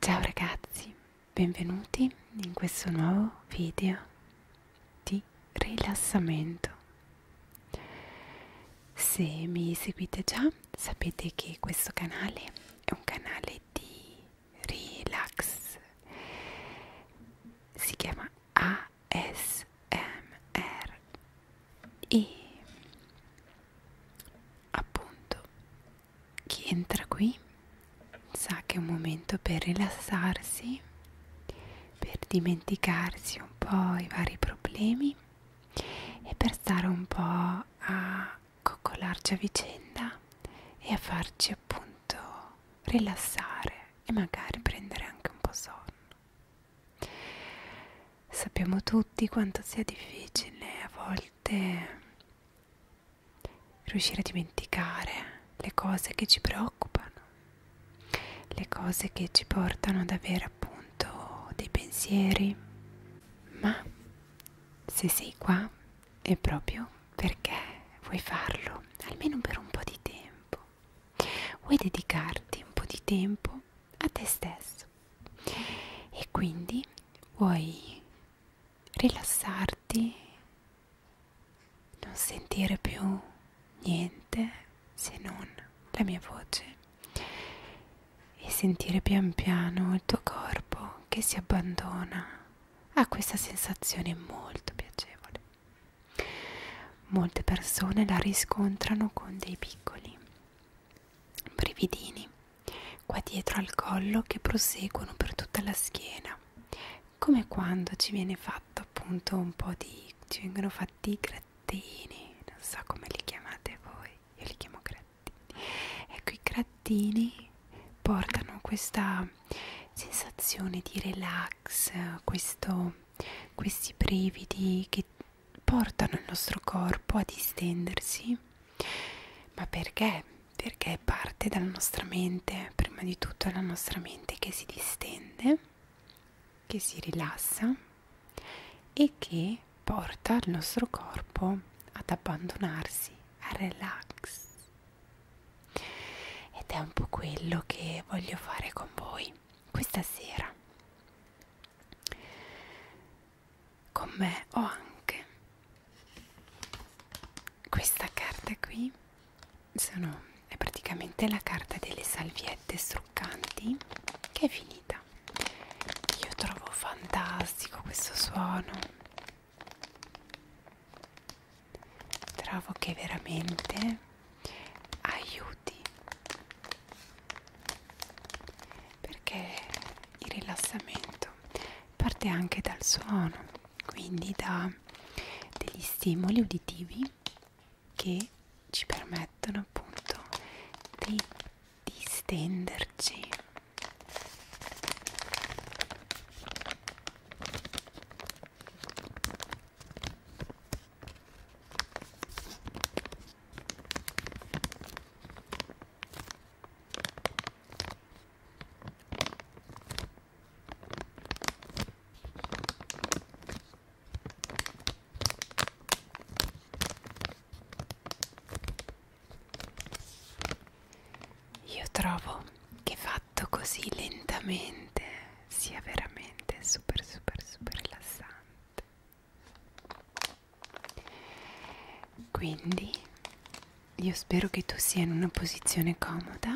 Ciao ragazzi, benvenuti in questo nuovo video di rilassamento. Se mi seguite già sapete che questo canale è un canale di relax, si chiama ASMR ASMR e appunto chi entra qui sa che è un momento per rilassarsi per dimenticarsi un po' i vari problemi e per stare un po' a coccolarci a vicenda e a farci appunto rilassare e magari prendere anche un po' sonno Sappiamo tutti quanto sia difficile a volte riuscire a dimenticare le cose che ci preoccupano, le cose che ci portano ad avere appunto dei pensieri, ma se sei qua è proprio perché vuoi farlo, almeno per un po' di tempo. Vuoi dedicarti un po' di tempo a te stesso e quindi vuoi rilassarti, non sentire più niente se non la mia voce e sentire pian piano il tuo corpo che si abbandona a questa sensazione molto piacevole. Molte persone la riscontrano con dei piccoli brividini qua dietro al collo che proseguono per tutta la schiena come quando ci viene fatto appunto un po' di ci vengono fatti i grattini non so come li chiamate voi io li chiamo grattini ecco i grattini portano questa sensazione di relax questo, questi brividi che portano il nostro corpo a distendersi, ma perché? Perché parte dalla nostra mente, prima di tutto è la nostra mente che si distende, che si rilassa e che porta il nostro corpo ad abbandonarsi, a relax. Ed è un po' quello che voglio fare con voi questa sera. Con me ho anche questa carta qui, sono, è praticamente la carta delle salviette struccanti che è finita. Io trovo fantastico questo suono, trovo che veramente aiuti perché il rilassamento parte anche dal suono quindi da degli stimoli uditivi che ci permettono appunto di distenderci io trovo che fatto così lentamente sia veramente super super super rilassante. Quindi io spero che tu sia in una posizione comoda,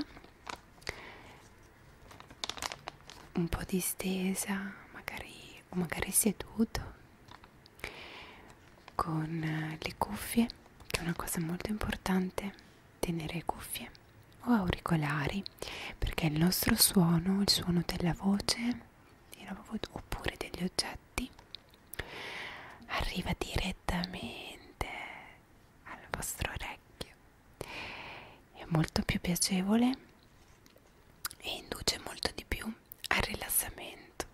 un po' distesa, magari, o magari seduto, con eh, le cuffie, che è una cosa molto importante, tenere cuffie o auricolari, perché il nostro suono, il suono della voce, erano voi oppure degli oggetti arriva direttamente al vostro orecchio è molto più piacevole e induce molto di più al rilassamento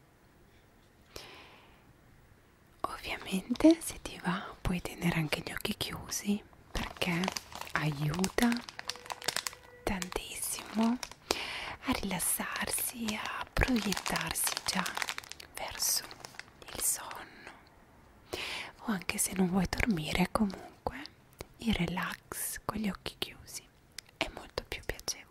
ovviamente se ti va puoi tenere anche gli occhi chiusi perché aiuta tantissimo a rilassarsi, a proiettarsi già verso il sonno o anche se non vuoi dormire comunque il relax con gli occhi chiusi è molto più piacevole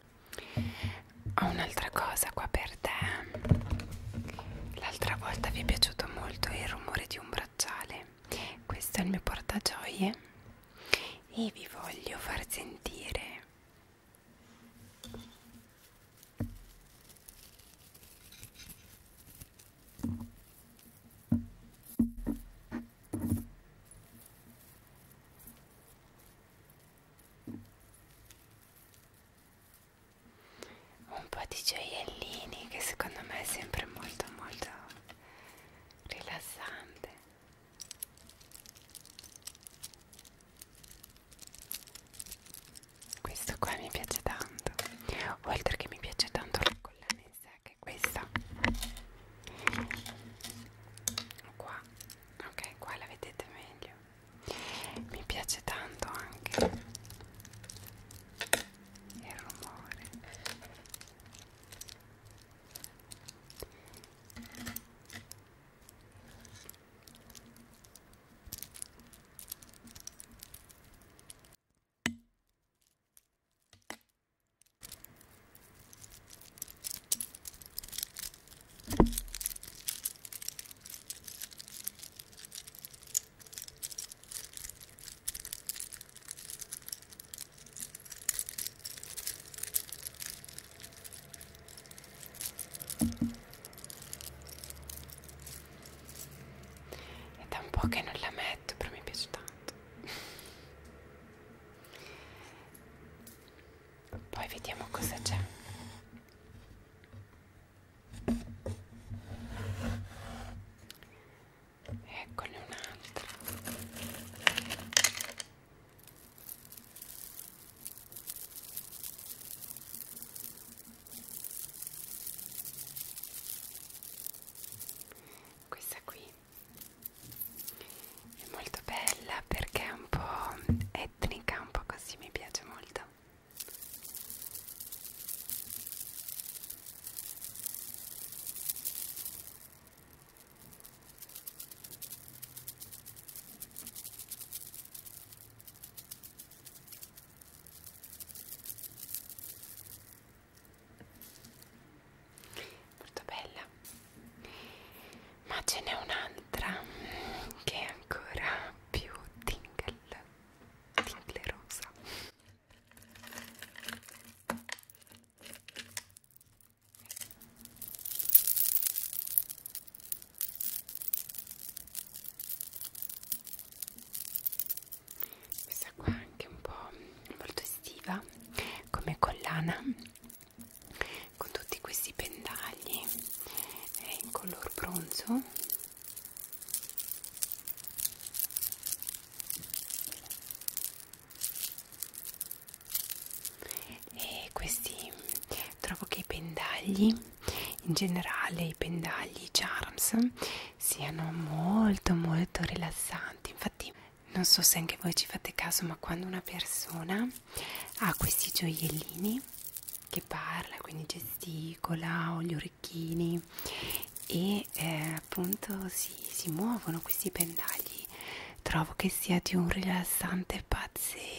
ho un'altra cosa qua per te l'altra volta vi è piaciuto molto il rumore di un bracciale questo è il mio portagioie e vi voglio far sentire un po' di gioiellini che secondo me è sempre molto molto rilassante questo qua mi piace tanto oltre che mi piace tanto la collana in sé che è questa qua ok qua la vedete meglio mi piace tanto anche il rumore è da un po' che non la metto, però mi piace tanto. Poi vediamo cosa c'è eccone un'altra questa qui è molto bella perché è un po' etnica, un po' così mi piace molto molto bella ma ce n'è un'altra che è ancora più tingle, tingle rosa questa qua è anche un po' molto estiva come collana con tutti questi pendagli è in color bronzo e questi trovo che i pendagli in generale i pendagli charms siano molto molto rilassanti infatti non so se anche voi ci fate caso ma quando una persona ha questi gioiellini che parla, quindi gesticola, ho gli orecchini e eh, appunto si, si muovono questi pendagli. Trovo che sia di un rilassante pazzesco.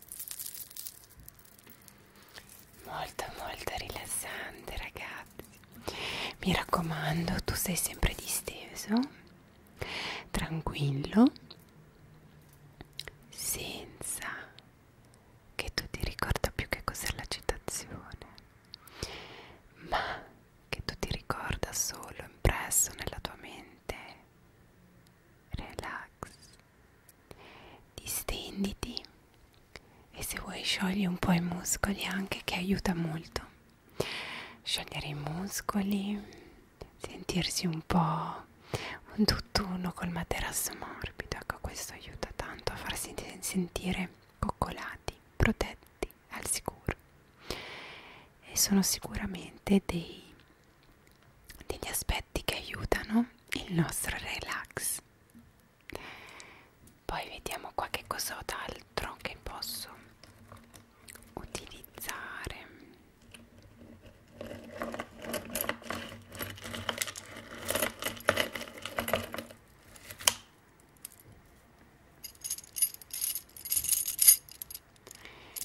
molto molto rilassante ragazzi mi raccomando tu sei sempre disteso tranquillo senza che tu ti ricorda più che cos'è l'agitazione ma che tu ti ricorda solo impresso nella tua mente relax distenditi e se vuoi sciogli un po' i muscoli anche che aiuta molto sciogliere i muscoli sentirsi un po' un tutt'uno col materasso morbido ecco questo aiuta tanto a farsi sentire coccolati protetti al sicuro e sono sicuramente dei degli aspetti che aiutano il nostro relax poi vediamo qua che cos'altro che posso utilizzare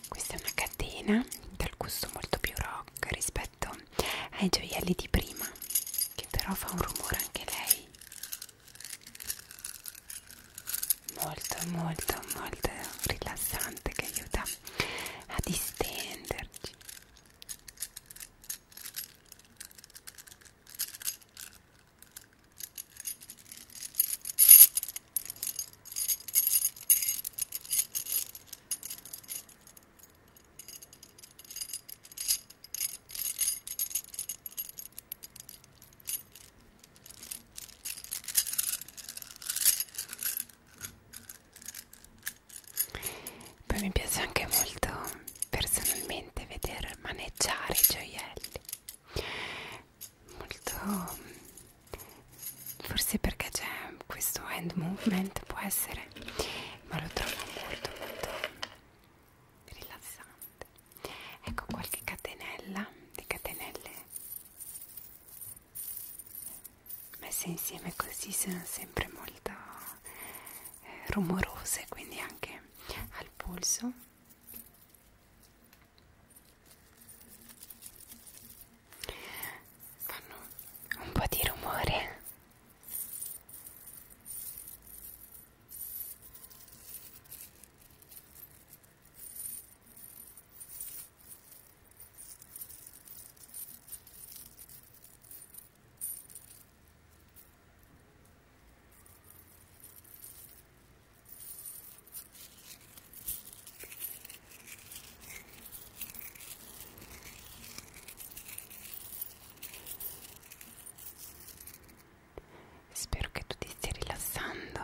questa è una catena dal gusto molto più rock rispetto rispetto ai gioielli di prima che però fa un rumore anche lei molto molto molto rilassante che aiuta a distenderci poi mi piace anche molto personalmente vedere maneggiare i gioielli molto forse perché c'è questo hand movement può essere ma lo trovo molto molto rilassante ecco qualche catenella di catenelle messe insieme così sono sempre molto eh, rumorose quindi anche al polso fanno un po' di rumore Spero che tu ti stia rilassando,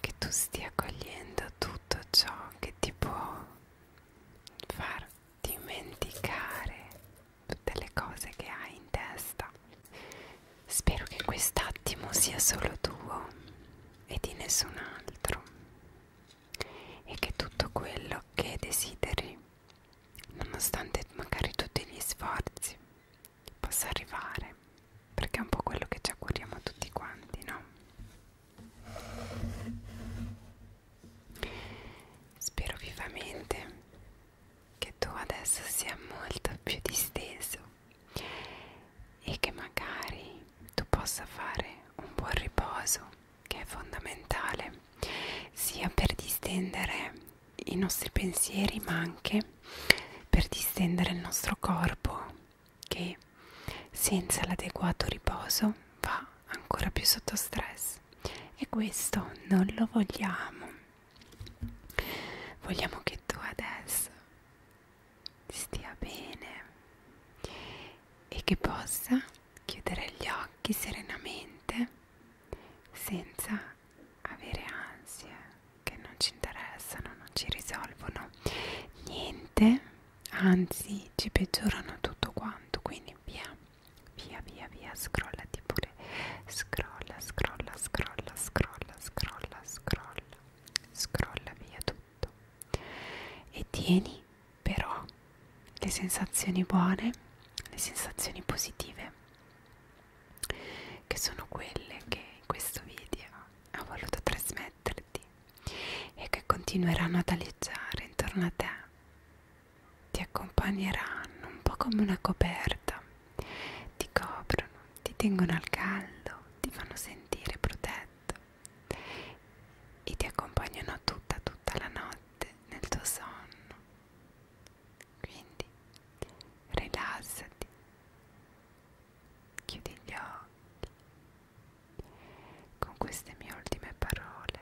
che tu stia accogliendo tutto ciò che ti può far dimenticare tutte le cose che hai in testa. Spero che quest'attimo sia solo tuo e di nessun altro e che tutto quello che desideri, nonostante magari tutti gli sforzi, possa arrivare, perché è un po' quello che ci auguriamo tutti quanti, no? Spero vivamente che tu adesso sia molto più disteso e che magari tu possa fare un buon riposo che è fondamentale sia per distendere i nostri pensieri ma anche per distendere il nostro corpo che senza l'adeguato riposo va ancora più sotto stress e questo non lo vogliamo vogliamo che tu adesso stia bene e che possa chiudere gli occhi serenamente senza avere ansie che non ci interessano, non ci risolvono niente, anzi ci peggiorano tutto quanto, quindi via, via, via, via, scrollati pure, scrolla, scrolla, scrolla, scrolla, scrolla, scrolla, scrolla via tutto e tieni però le sensazioni buone, le sensazioni positive, che sono quelle che in questo video ho voluto trasmetterti e che continueranno ad aleggiare intorno a te, ti accompagneranno un po' come una coperta, ti coprono, ti tengono al caldo, ti fanno sentire protetto e ti accompagnano tutta tutta tutta la notte nel tuo sonno. Quindi rilassati, chiudi gli occhi. Con queste mie ultime parole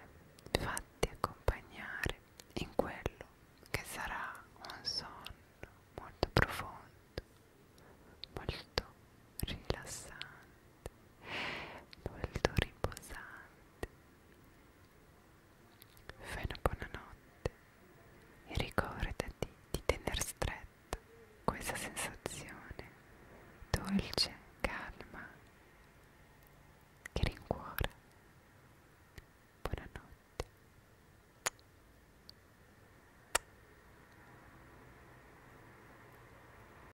fatti accompagnare in quello che sarà un sonno molto profondo, molto rilassante molto riposanti. Fai una buona notte e ricordati di tener stretta questa sensazione dolce, calma, che rincuora. Buonanotte.